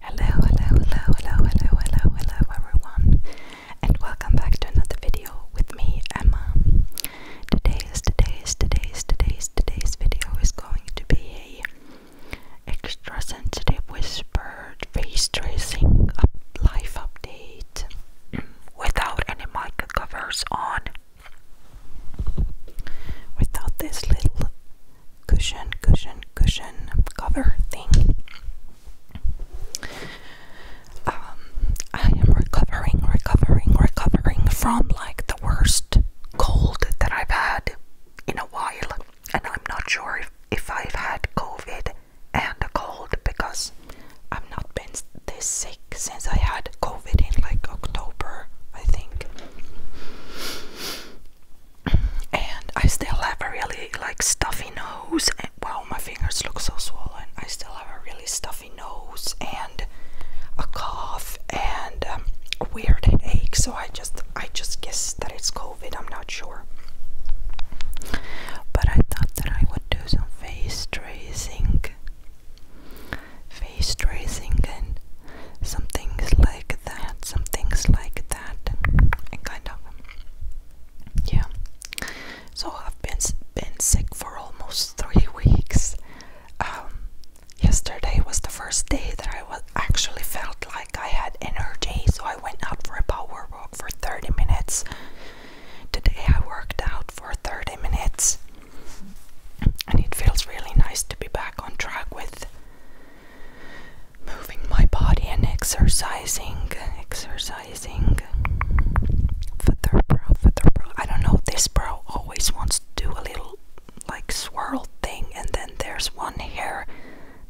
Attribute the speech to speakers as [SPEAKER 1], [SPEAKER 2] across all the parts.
[SPEAKER 1] Hello, hello, hello, hello, hello, hello, hello, everyone, and welcome back to another video with me, Emma. Today's, today's, today's, today's, today's video is going to be a extra sensitive whispered face tracing up life update without any mic covers on, without this little cushion, cushion, cushion cover thing. Um, I am recovering, recovering, recovering from like the worst cold that I've had in a while, and I'm not sure if, if I've had COVID and a cold because I've not been this sick since I had COVID in like October, I think and I still have a really like stuffy nose. wow, my fingers look so swollen. I still have a really stuffy nose and a cough and a um, weird headache. So I just, I just guess that it's COVID. I'm not sure. But I thought that I would do some face tracing, face tracing, and some things like that, some things like that, and, kind of, yeah. So I've been been sick for almost three weeks. Um, yesterday was the first day that I was actually felt like I had energy, so I went out for a power walk for 30 minutes. Today I worked out for 30 minutes, and it feels really nice to be back on track with moving my body and exercising, exercising. Feather brow, feather brow. I don't know. This brow always wants to do a little like swirl thing, and then there's one hair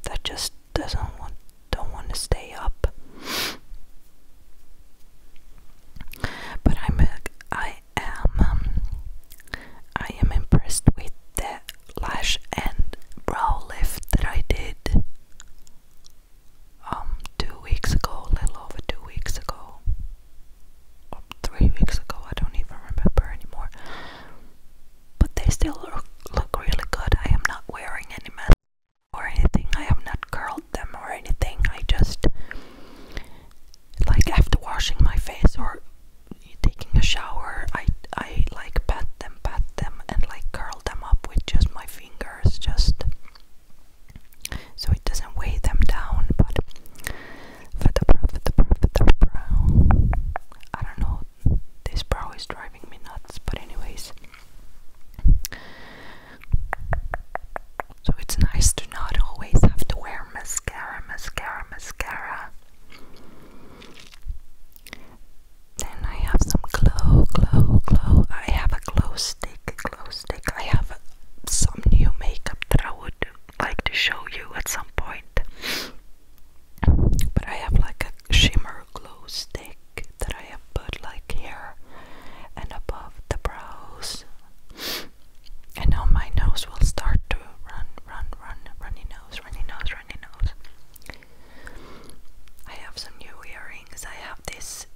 [SPEAKER 1] that just doesn't want, don't want to stay up. But I'm, a, I am um, I am impressed with the lash and brow lift that I did um two weeks ago, a little over two weeks ago. three weeks ago, I don't even remember anymore. But they still look, really good. I am not wearing any mascara or anything. I have not curled them or anything. I just like after washing my face or taking a shower, I I like pat them, pat them, and like curl them up with just my fingers, just so it doesn't weigh them down. But for the brow, for the brow, for the brow, I don't know. This brow is driving me nuts. But anyways. So it's nice to not always have to wear mascara, mascara, mascara. Then I have some glow, glow, glow. I have a glow stick, glow stick. I have some new makeup that I would like to show you at some point. But I have like a shimmer glow stick that I have put like here and above the brows. And now my nose will start to run, run, run, runny nose, runny nose, runny nose. I have some new earrings. I have these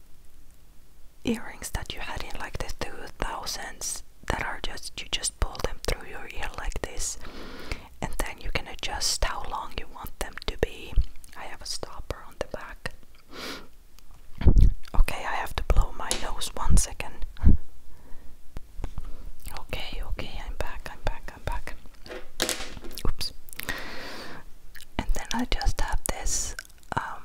[SPEAKER 1] earrings that you had in like the 2000s that are just, you just pull them through your ear like this, and then you can adjust how long you want them to be. I have a stopper on the back. Okay, I have to blow my nose one second. Okay, okay, I'm back, I'm back, I'm back. Oops. And then I just have this. Um,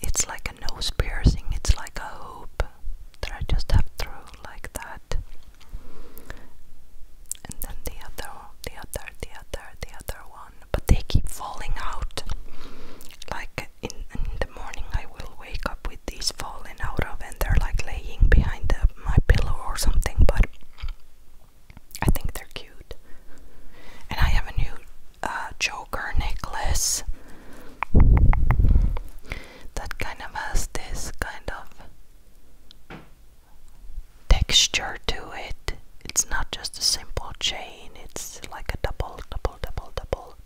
[SPEAKER 1] it's like a nose piercing. It's like a hoop that I just have through like that. And then the other, the other, the other, the other one but they keep falling out. Like in, the morning, I will wake up with these falling out of, and they're like laying behind my pillow or something. But I think they're cute. And I have a new uh, choker necklace that kind of has this kind of texture to it. It's not just a simple chain it's like a double, double, double, double.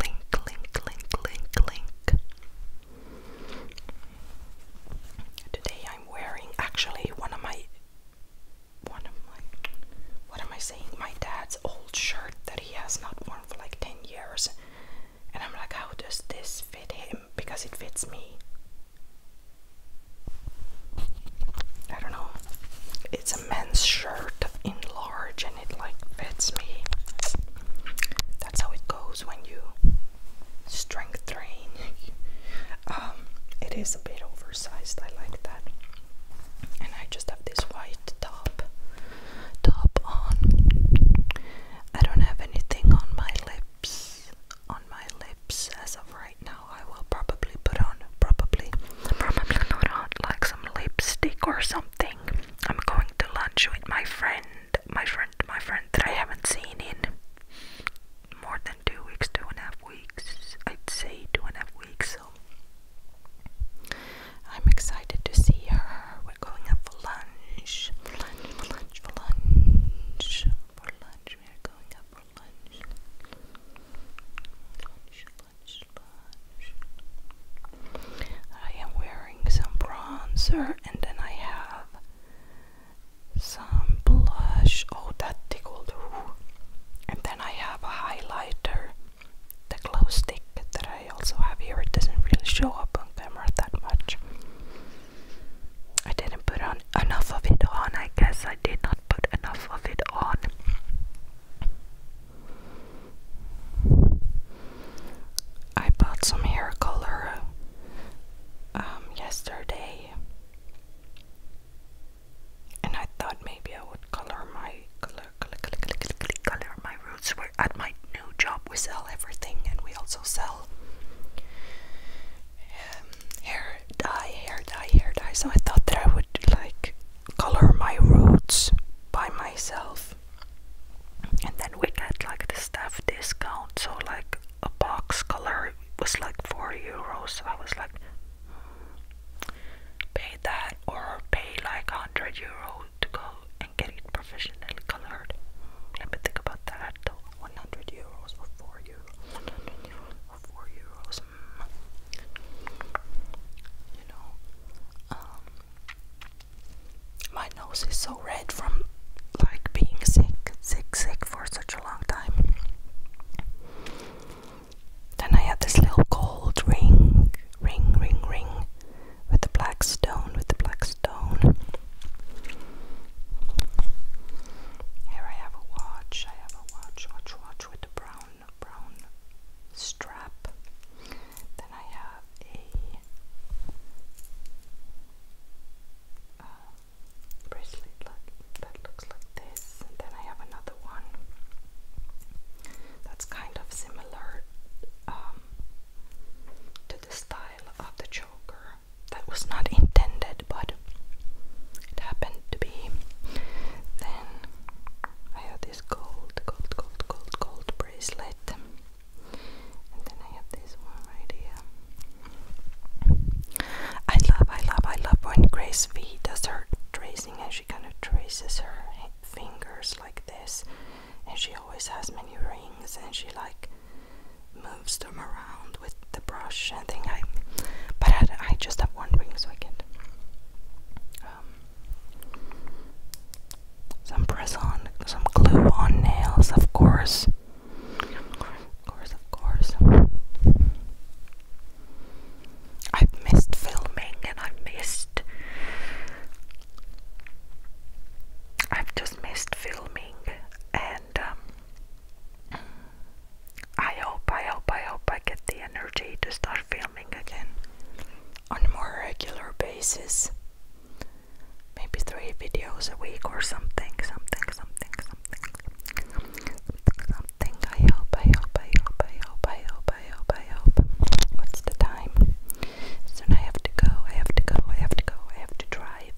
[SPEAKER 1] Link, link, link, link, link. Today I'm wearing actually one of my one of my what am I saying? My dad's old shirt that he has not worn for like 10 years. And I'm like, how does this fit him? Because it fits me. I don't know. It's a men's shirt in large and it like fits me. That's how it goes when you strength train. um, it is a bit oversized, I like that. And I just have this white top top on. I don't have anything on my lips on my lips as of right now I will probably put on probably probably put on like some lipstick or something. I'm going to lunch with my friend, my friend, my friend that I haven't seen in more than two weeks, two and a half weeks. I'd say two and a half weeks, so I'm excited to see her. We're going out for lunch. For lunch, for lunch, for lunch, I am wearing some bronzer and then I have some blush. Oh, that tickled. Ooh. And then I have a highlighter, the glow stick that I also have here. It doesn't really show up on camera that much. I didn't put on enough of it on. I guess I did not put enough of it on. I bought some hair color um, yesterday, and I thought maybe I would color my color, color, color, color, color, color my roots. we at my new job. We sell everything, and we also sell hair dye, hair dye, hair dye. So I thought that I would like color my roots by myself. And then we got like the stuff discount, so like a box color was like 4 euros. I was like, hmm, pay that or pay like 100 euro to go and get it professionally colored. Let me think about that 100 euros for 4 100 euros for 4 mm. You know, um, my nose is so red from like being sick, sick, sick for such a long time. Then I had this little gold ring, ring, ring, ring, with the black stone, with the black stone. Here I have a watch. I have a watch, watch, watch with a brown, brown strap. Then I have a uh, bracelet that looks like this. And then I have another one that's kind of similar um, the style of the Joker. That was not intended, but it happened to be. Then I have this gold, gold, gold, gold, gold bracelet. And then I have this one right here. I love, I love, I love when Grace V does her tracing and she kind of traces her fingers like this and she always has many rings and she like moves them around with the brush and thing I but I, just have one ring so I get um, some press on some glue on nails of course of course of course I've missed filming and i missed I've just missed filming and um, I hope, I hope, I hope I get the energy to start filming again on a more regular basis. Maybe three videos a week or something, something, something, something, something, something. I hope, I hope, I hope, I hope, I hope, I hope, I hope. What's the time? Soon I have to go, I have to go, I have to go, I have to drive.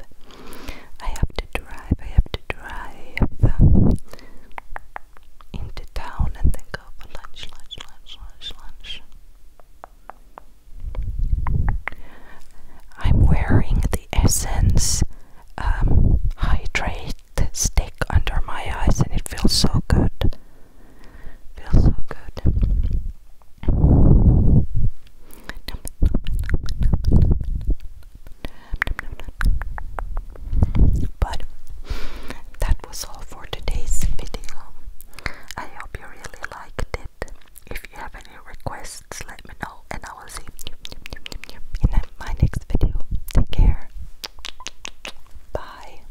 [SPEAKER 1] I have to drive, I have to drive um, into town and then go for lunch, lunch, lunch, lunch, lunch. I'm wearing the Essence um, Hydrate stick under my eyes and it feels so good. Feels so good. But that was all for today's video. I hope you really liked it. If you have any requests, let me know, and I will see you in my next video. Take care. Bye.